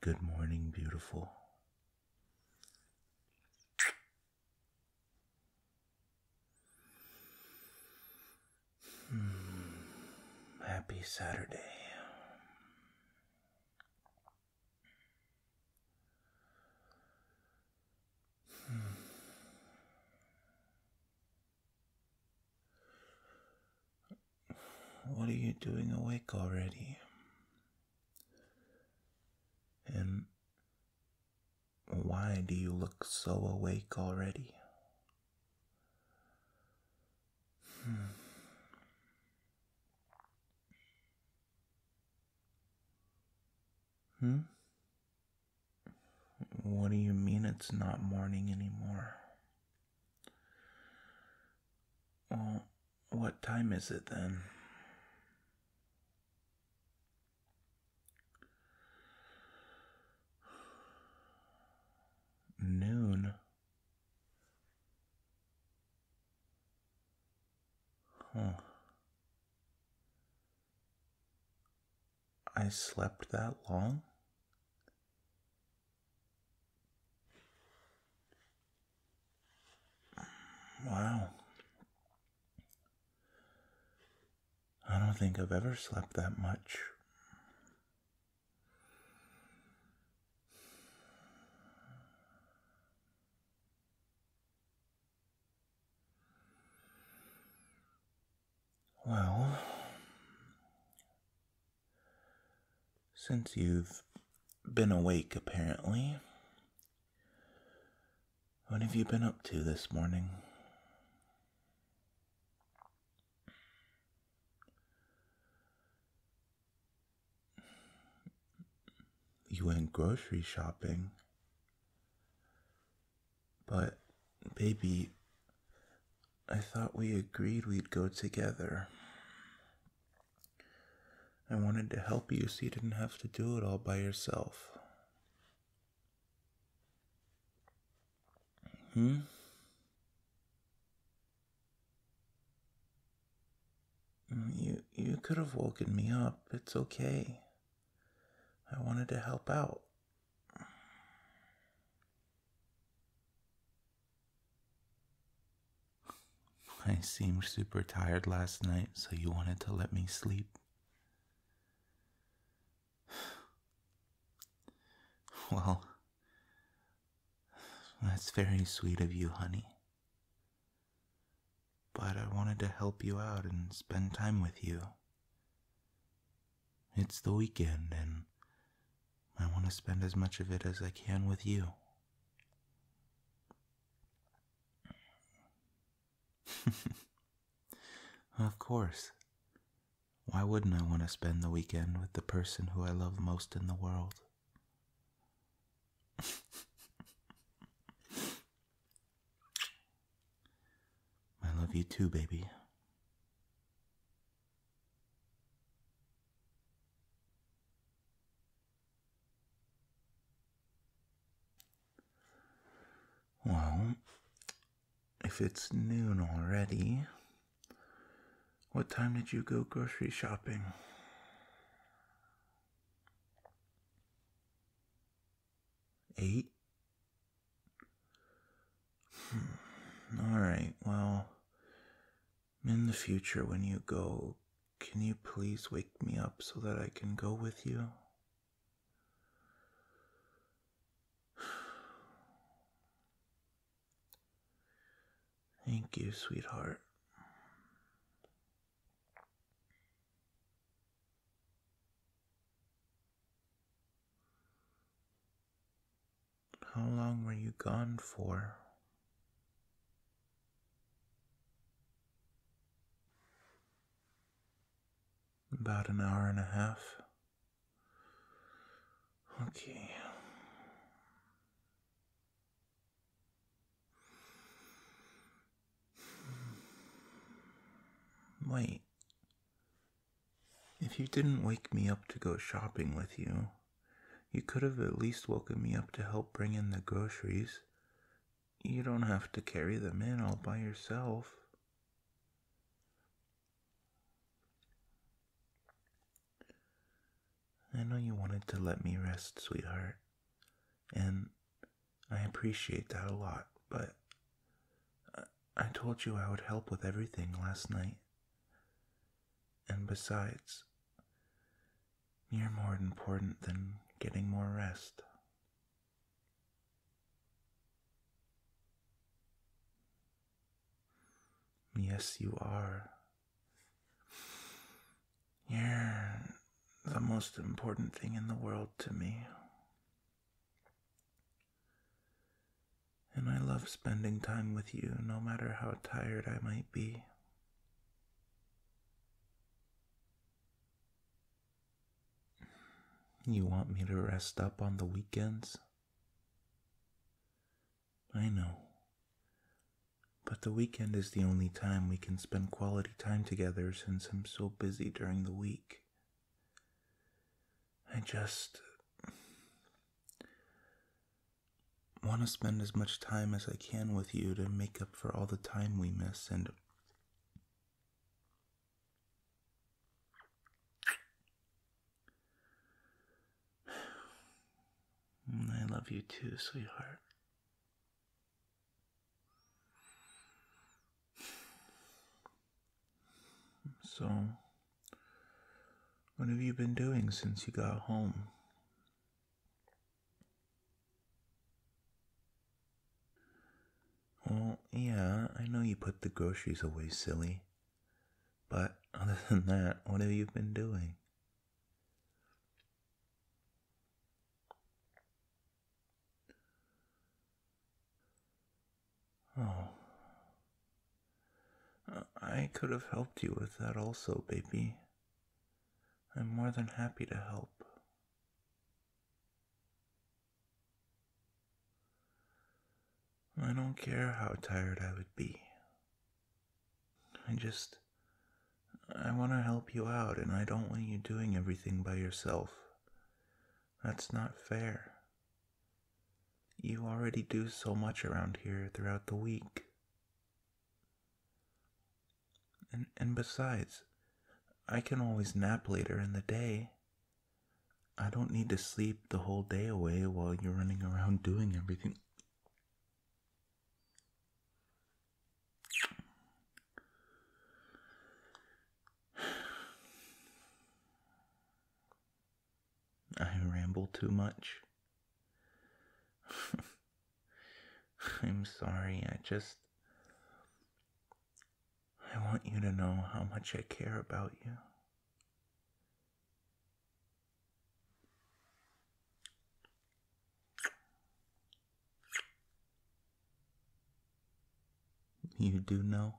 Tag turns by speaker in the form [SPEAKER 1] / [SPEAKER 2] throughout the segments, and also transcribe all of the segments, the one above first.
[SPEAKER 1] Good morning, beautiful. Hmm, happy Saturday. Hmm. What are you doing awake already? And why do you look so awake already? Hmm. Hmm? What do you mean it's not morning anymore? Well, what time is it then? Noon. Huh. I slept that long? Wow. I don't think I've ever slept that much. Well, since you've been awake, apparently. What have you been up to this morning? You went grocery shopping. But, baby, I thought we agreed we'd go together. I wanted to help you so you didn't have to do it all by yourself. Hmm? Mm, you, you could have woken me up. It's okay. I wanted to help out. I seemed super tired last night, so you wanted to let me sleep. Well, that's very sweet of you, honey. But I wanted to help you out and spend time with you. It's the weekend, and I want to spend as much of it as I can with you. of course. Why wouldn't I want to spend the weekend with the person who I love most in the world? I love you too, baby. Well, if it's noon already, what time did you go grocery shopping? Eight? Hmm. All right, well, in the future when you go, can you please wake me up so that I can go with you? Thank you, sweetheart. How long were you gone for? About an hour and a half. Okay. Wait, if you didn't wake me up to go shopping with you, you could have at least woken me up to help bring in the groceries. You don't have to carry them in all by yourself. I know you wanted to let me rest, sweetheart, and I appreciate that a lot, but uh, I told you I would help with everything last night. And besides, you're more important than getting more rest. Yes, you are. You're the most important thing in the world to me. And I love spending time with you no matter how tired I might be. You want me to rest up on the weekends? I know. But the weekend is the only time we can spend quality time together since I'm so busy during the week I just want to spend as much time as I can with you to make up for all the time we miss and I love you too, sweetheart. So, what have you been doing since you got home? Well, yeah, I know you put the groceries away, silly. But other than that, what have you been doing? Oh. I could have helped you with that also, baby. I'm more than happy to help. I don't care how tired I would be. I just. I want to help you out, and I don't want you doing everything by yourself. That's not fair. You already do so much around here throughout the week. And, and besides, I can always nap later in the day. I don't need to sleep the whole day away while you're running around doing everything. I ramble too much. I'm sorry, I just. I want you to know how much I care about you. You do know?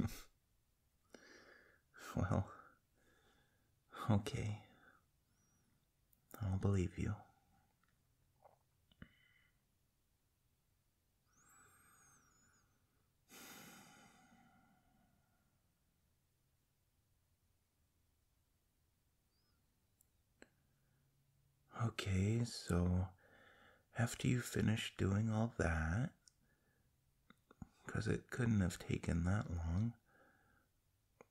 [SPEAKER 1] well, okay. I'll believe you. Okay, so after you finish doing all that, because it couldn't have taken that long,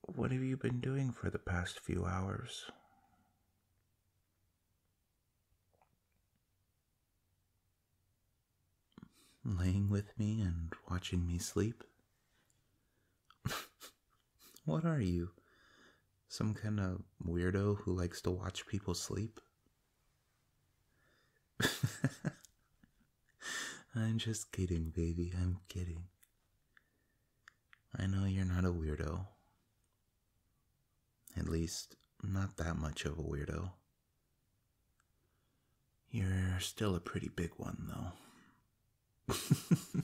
[SPEAKER 1] what have you been doing for the past few hours? Laying with me and watching me sleep? What are you? Some kind of weirdo who likes to watch people sleep? I'm just kidding, baby. I'm kidding. I know you're not a weirdo. At least, not that much of a weirdo. You're still a pretty big one, though.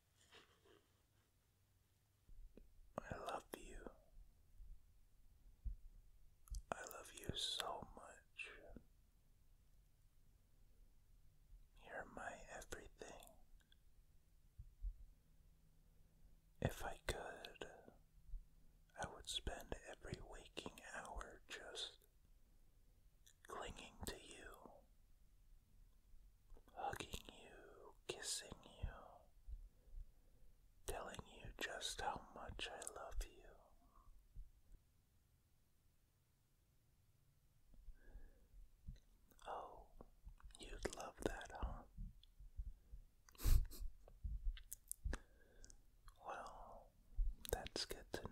[SPEAKER 1] I love you. I love you so much. You're my everything. If I could, I would spend every waking hour just clinging to you hugging you, kissing you, telling you just how much I love you. Oh, you'd love that, huh? well, that's good to know.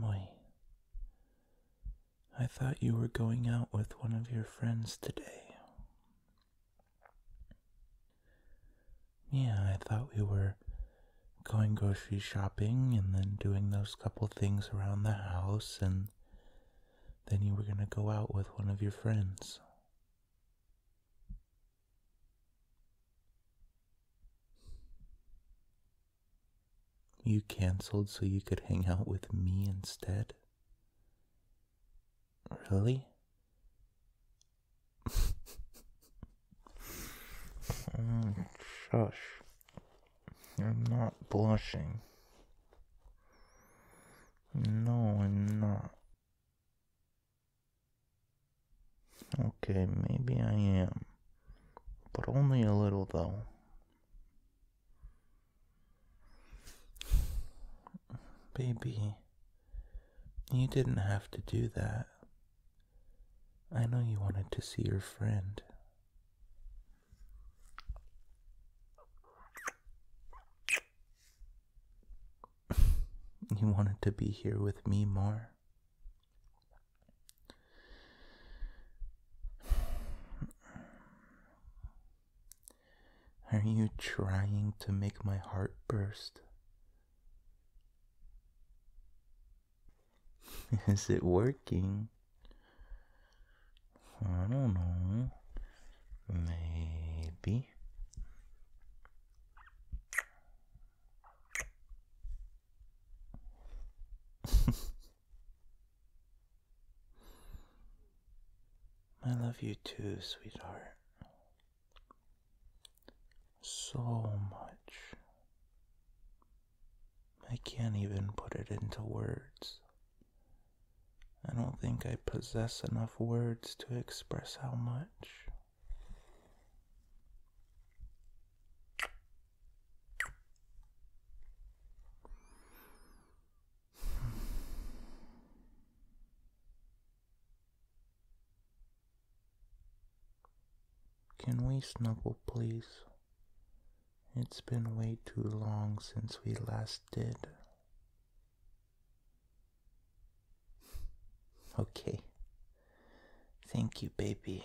[SPEAKER 1] Why, I thought you were going out with one of your friends today. Yeah, I thought we were going grocery shopping and then doing those couple things around the house, and then you were going to go out with one of your friends. You canceled so you could hang out with me instead? Really? Mm, shush. I'm not blushing. No, I'm not. Okay, maybe I am. But only a little, though. Baby, you didn't have to do that. I know you wanted to see your friend. you wanted to be here with me more. Are you trying to make my heart burst? Is it working? I don't know. Maybe. I love you too, sweetheart. So much. I can't even put it into words. I don't think I possess enough words to express how much. Can we snuggle, please? It's been way too long since we last did. Okay. Thank you, baby.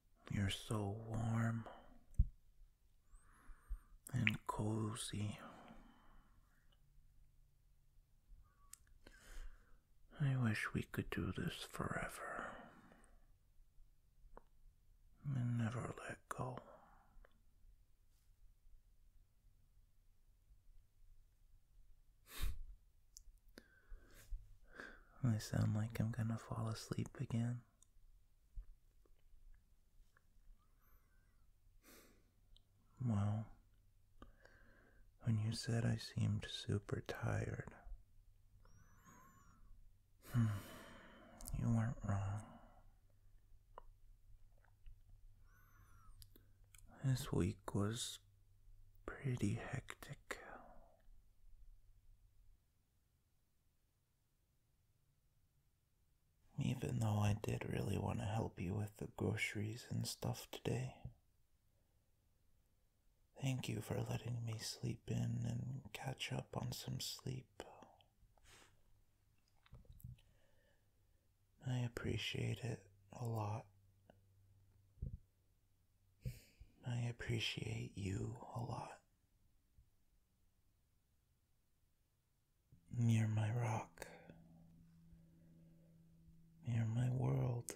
[SPEAKER 1] You're so warm and cozy. I wish we could do this forever and never let go. I sound like I'm gonna fall asleep again. Well, when you said I seemed super tired, hmm, you weren't wrong. This week was pretty hectic. Even though I did really want to help you with the groceries and stuff today. Thank you for letting me sleep in and catch up on some sleep. I appreciate it a lot. I appreciate you a lot. You're my rock. You're my world.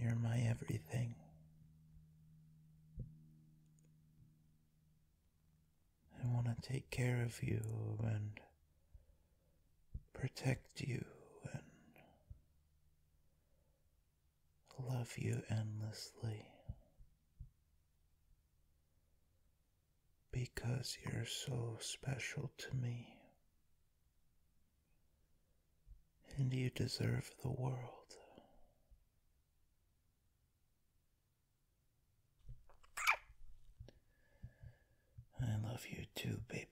[SPEAKER 1] You're my everything. I want to take care of you and protect you and love you endlessly because you're so special to me and you deserve the world. I love you too, baby.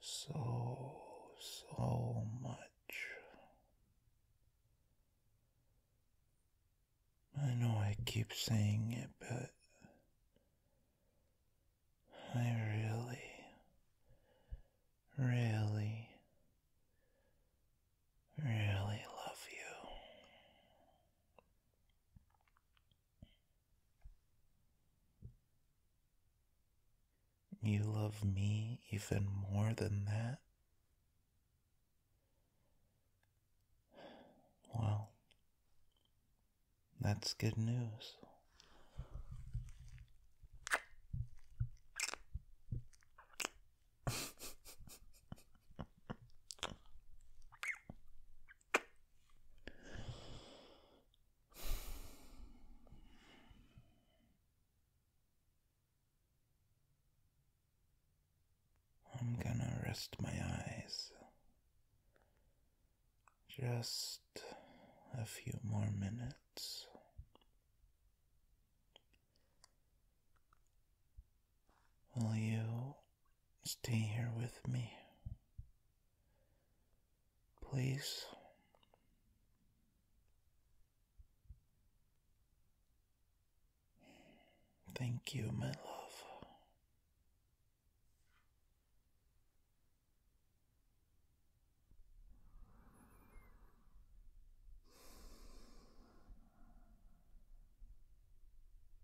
[SPEAKER 1] So, so much. I know I keep saying it, but I really, really, really love you. You love me even more than that? Well, that's good news. I'm gonna rest my eyes just a few more minutes. Will you stay here with me? Please. Thank you, my love.